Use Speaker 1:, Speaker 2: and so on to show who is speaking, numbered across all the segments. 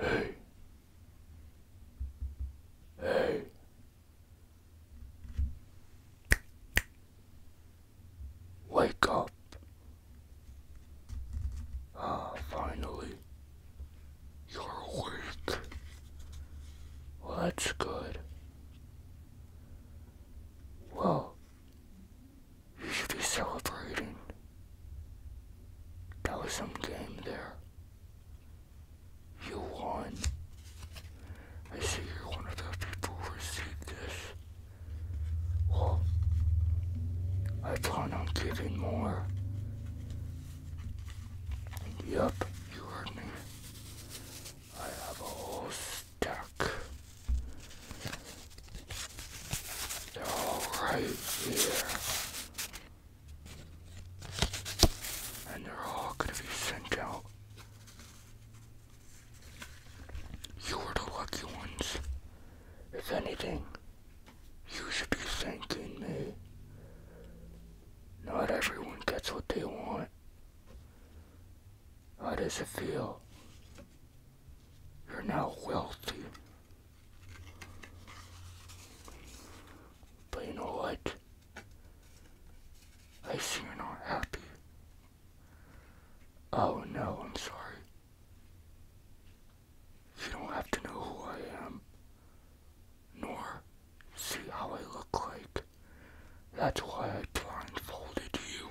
Speaker 1: Hey. Hey. Wake up. Ah, finally. You're awake. Well, that's good. Well, you should be celebrating. That was some game there. You won. I see you're one of those people who received this. Well, I plan on giving more. Yep, you heard me. I have a whole stack. They're all right here. And they're all gonna be sent out. You were the lucky ones. If anything, you should be thanking me. Not everyone gets what they want. How does it feel? You're now wealthy. But you know what? I see you're not happy. Oh no, I'm sorry. You don't have to know who I am, nor see how I look like. That's why I blindfolded you.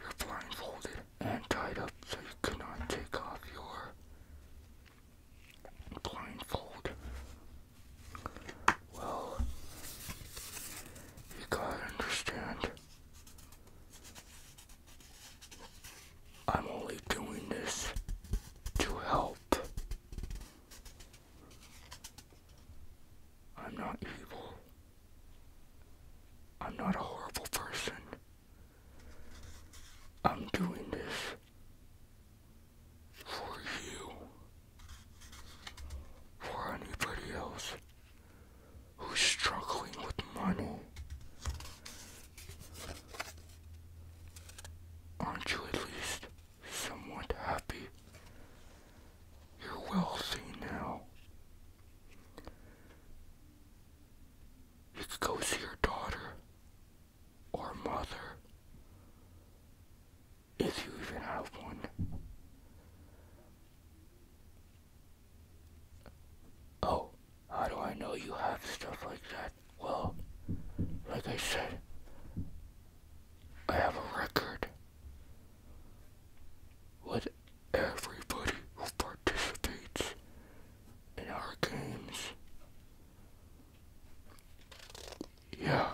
Speaker 1: You're blindfolded and tied up so you cannot take off your blindfold. Well, you gotta understand. I'm only doing this to help. I'm not evil. I'm not a horrible person. I'm doing this for you, for anybody else who's struggling with money. Aren't you at least somewhat happy. You're wealthy now. You could go see your daughter or mother, if you even have one. Oh, how do I know you have stuff like that? Well, like I said, I have a record with everybody who participates in our games. Yeah.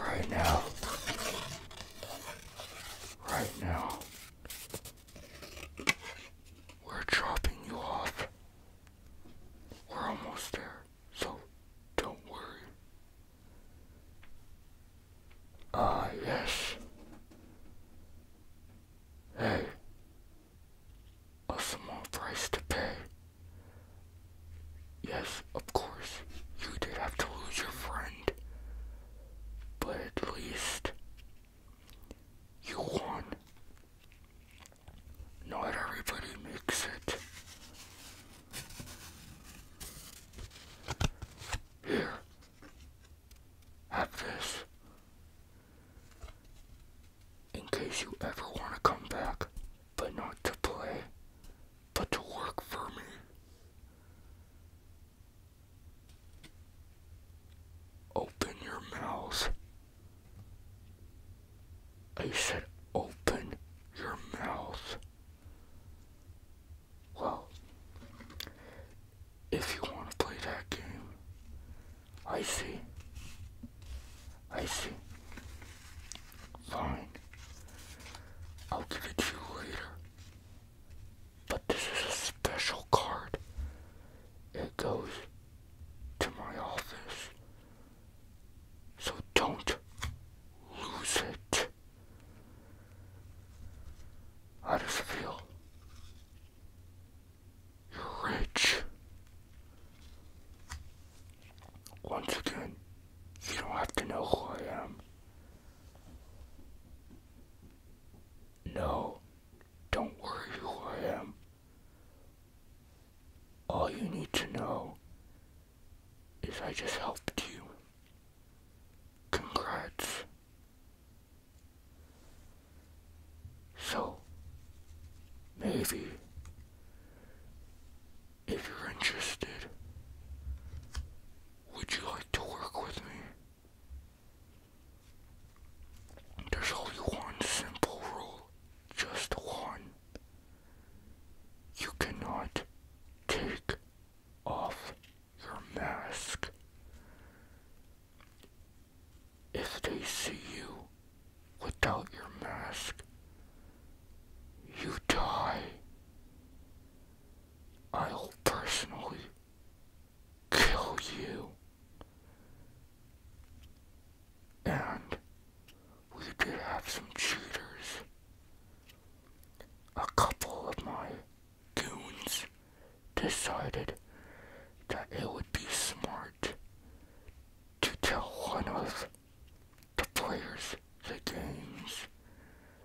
Speaker 1: right now, right now, we're dropping you off. We're almost there so don't worry. Ah, yes. Hey, a small price to pay. Yes, of course, you did have to lose your friend, but at least you won. Not everybody makes it. Here, have this. In case you ever want to come back, but not to play, but to work for me. Open your mouth I said, open your mouth. Well, if you want to play that game, I see. I see. Fine. I'll give it to you later. But this is a special card. It goes to my office. So don't lose it. I just feel? You're rich. Once again, you don't have to know who I am. No, don't worry who I am. All you need to know is I just helped you. Congrats. So, maybe, if you're interested, would you like to work with me? There's only one simple rule, just one. You cannot take off your mask. If they see you without your mask, you die. I'll personally kill you. And we did have some cheaters. A couple of my goons decided that it would be smart to tell one of the players the games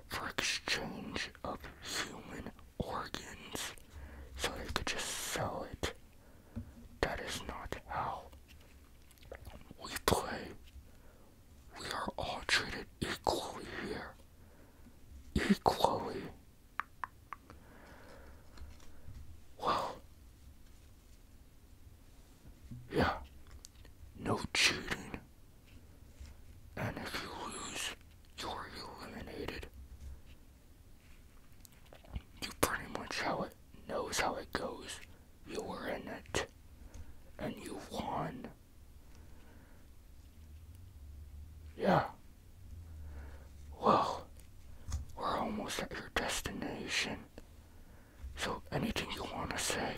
Speaker 1: for exchange of human organs so they could just sell it. That is not how we play. We are all treated equally here. Equally. Well, yeah, no cheating, and if you lose, you're eliminated. You pretty much how it knows how it goes. You were in it. And you won. Yeah. Well, we're almost at your destination. So anything you want to say?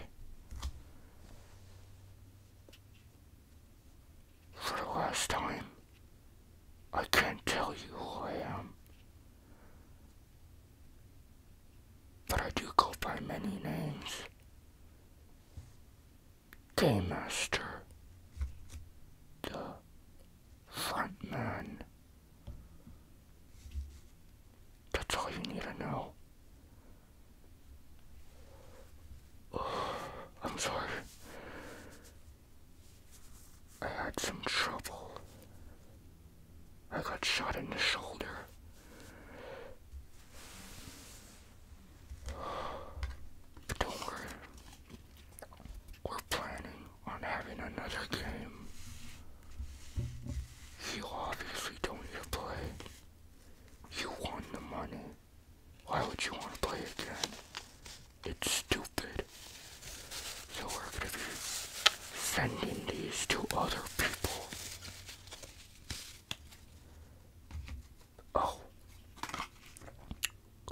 Speaker 1: For the last time, I can't tell you who I am. But I do go by many names. Game Master, the front man. That's all you need to know. I'm sorry. I had some trouble. I got shot in the shoulder. But don't worry. We're planning on having another game. You obviously don't need to play. You won the money. Why would you want to play again? It's stupid. So we're gonna be sending these to other people. Oh.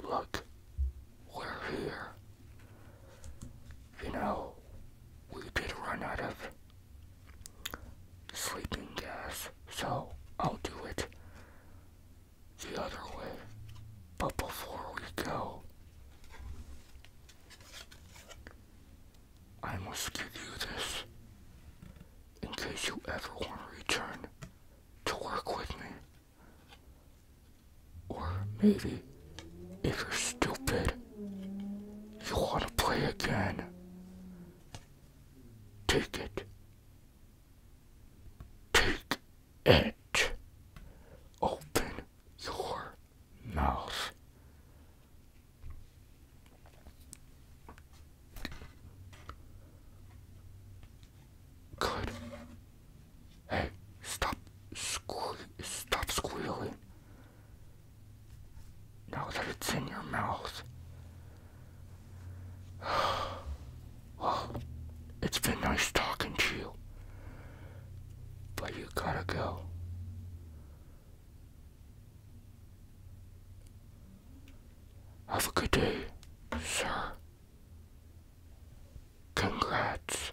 Speaker 1: Look. We're here. You know, we did run out of sleeping gas, so I'll do it the other way. But before we go, I must give you this in case you ever want to return to work with me. Or maybe if you're stupid, you want to play again, take it. Take it. Open your mouth. Good. Hey, stop sque stop squealing. Now that it's in your mouth. Well, it's been nice talking to you. But you gotta go. Have a good day, sir. Congrats.